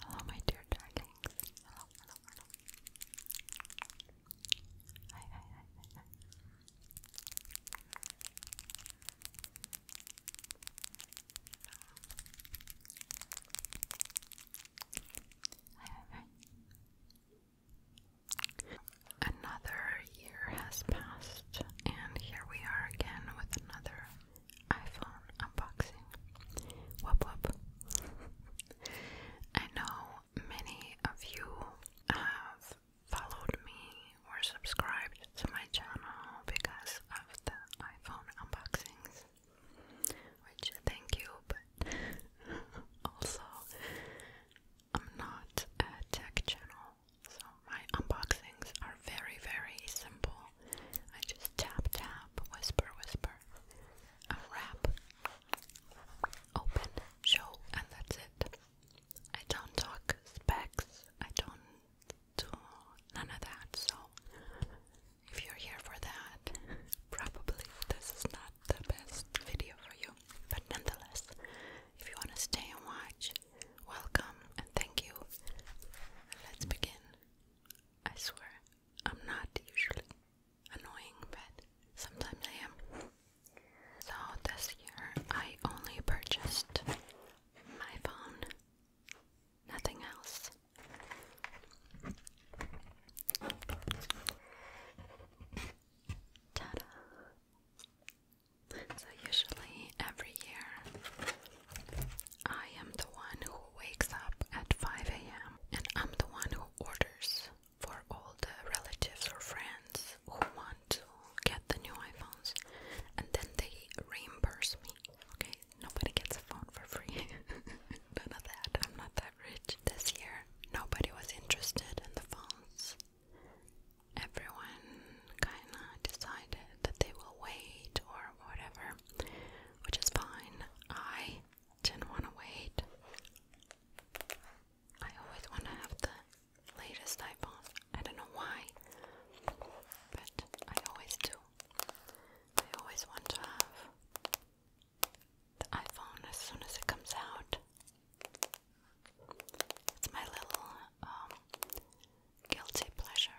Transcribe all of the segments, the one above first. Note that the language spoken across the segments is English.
Hello, my dear darlings. Hello, hello, hello. Hi, hi, hi, hi, hi. Hi, hi, Another year has passed, and here we are again with another iPhone unboxing. Whoop whoop. I know many of you have followed me or subscribed to my channel because of the iPhone unboxings. Which thank you, but also I'm not a tech channel, so my unboxings are very, very simple. I just tap, tap, whisper, whisper, a open, show, and that's it. I don't talk specs, I don't do none of that, so if you're here for that, probably this is not the best video for you. But nonetheless, if you want to stay and watch, welcome and thank you. Let's begin. I swear, I'm not usually annoying, but sometimes I am. So this year I only purchased my phone, nothing else. Ta So, usually every year I am the one who wakes up at 5 a.m. and I'm the one who orders for all the relatives or friends who want to get the new iPhones and then they reimburse me. Okay, nobody gets a phone for free. None of that. I'm not that rich. This year, nobody was interested in the phones. Everyone kinda decided that they will wait or whatever which is fine. I didn't want to wait. I always want to have the latest iPhone. I don't know why, but I always do. I always want to have the iPhone as soon as it comes out. It's my little um, guilty pleasure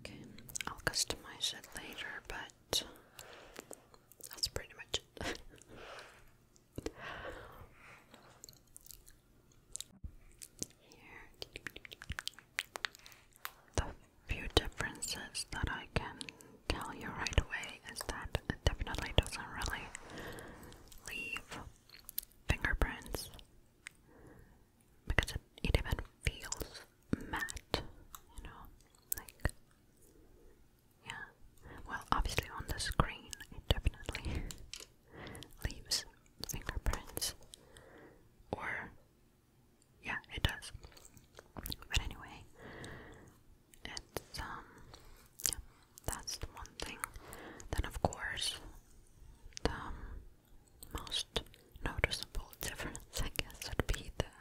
Okay, I'll customize it later, but that's pretty much it. the few differences that I can tell you right away is that it definitely doesn't really leave fingerprints because it, it even feels matte, you know, like yeah. Well, obviously on the screen it definitely leaves fingerprints, or yeah, it does. But anyway, it's um that's the one thing. Then of course the um, most noticeable difference I guess would be the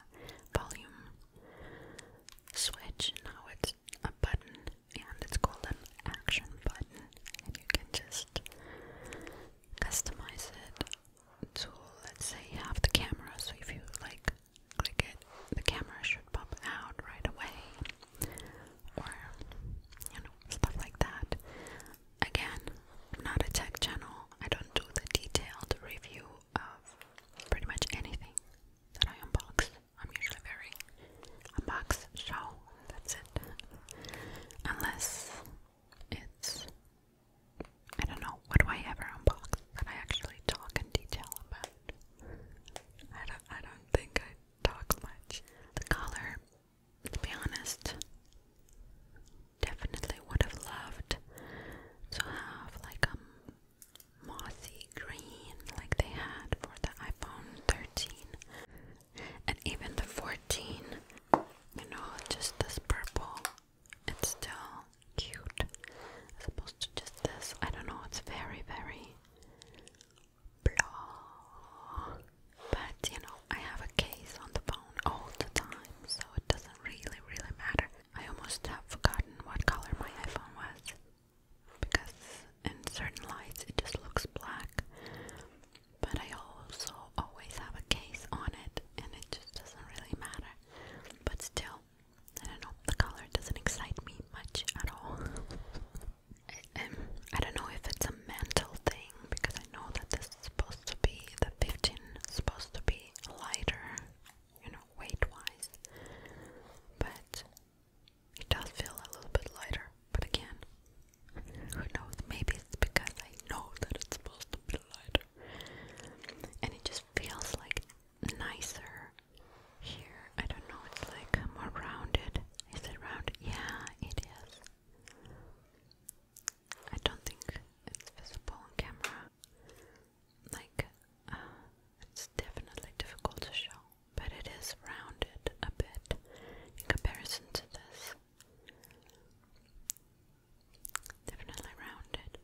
volume switch. Now it's a button and it's called an action button and you can just customize it to let's say have the camera so if you like click it, the camera should pop out right away, or you know, stuff like that. Again, I'm not a tech channel, I don't do the detailed review of pretty much anything that I unbox. I'm usually very unbox show, that's it. Unless it's I don't know, what do I ever unbox that I actually talk in detail about? I don't, I don't think I talk much. The color, to be honest, definitely would have loved to have like a mossy green like they had for the iPhone 13 and even the 14. You know, just this purple. It's still cute as opposed to just this. I don't know, it's very, very blah. But you know, I have a case on the phone all the time, so it doesn't really, really matter. I almost have forgotten what color my iPhone was because in certain lights it just looks black. But I also always have a case on it, and it just doesn't really matter. But still, I don't know, the color doesn't excite me much at all. um, I don't know if it's a mental thing because I know that this is supposed to be the 15 supposed to be lighter, you know, weight wise, but it does feel a little bit lighter. But again, who knows? Maybe it's because I know that it's supposed to be lighter and it just feels like nicer here, I don't know, it's like more rounded. Is it round? Yeah, it is. I don't think it's visible on camera. Like, uh, it's definitely difficult to show, but it is rounded a bit in comparison to this. Definitely rounded.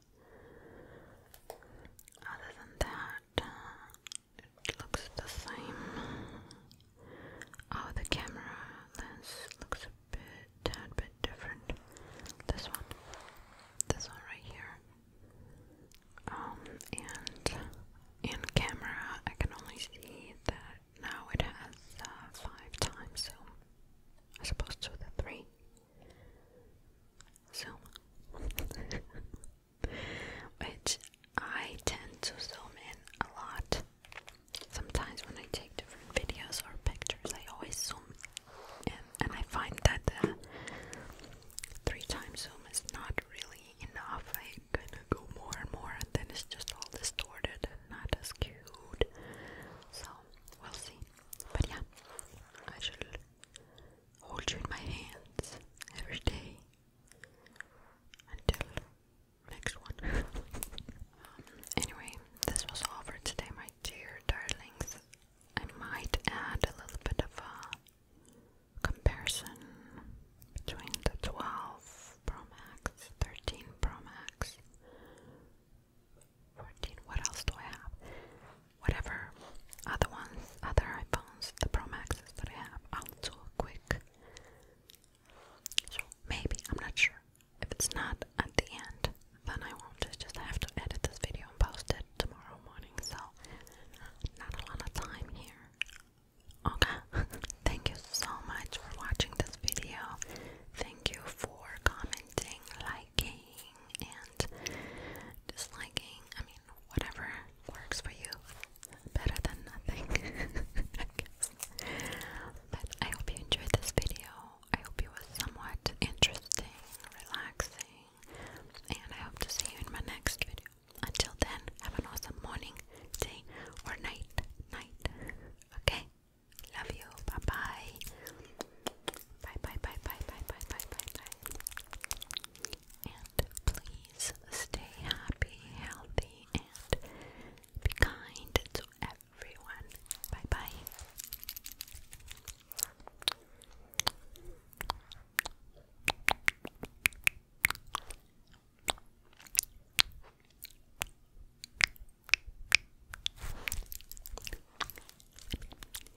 Other than that, it looks the same. Oh, the camera lens looks a bit, tad bit different. This one, this one right here. Um, and in camera, I can only see that now it has uh, five times zoom as opposed to the three. So which I tend to zoom in a lot. Sometimes when I take different videos or pictures, I always zoom and I find that the three times zoom is not really enough. I kind of go more and more, and then it's just all distorted and not as cute. So we'll see. But yeah, I should hold you in my hands every day until next one. anyway, this was all for today, my dear darlings. I might add a little bit of a comparison between the 12 Pro Max, 13 Pro Max, 14. What else do I have? whatever other ones, other iPhones, the Pro Maxes that I have, I'll quick. So maybe I'm not sure. If it's not at the end, then I won't just just have to edit this video and post it tomorrow morning. So not a lot of time here. Okay. Thank you so much for watching this video. Thank you for commenting, liking and disliking. I mean, whatever works for you. Better than nothing, But I hope you enjoyed this video. I hope it was somewhat interesting, relaxing, and I hope to see you in my next video. Until then, have an awesome morning, day, or night. Night. Okay? Love you. Bye bye. Bye bye bye bye bye bye bye bye bye. And please stay happy, healthy, and be kind to everyone. Bye bye.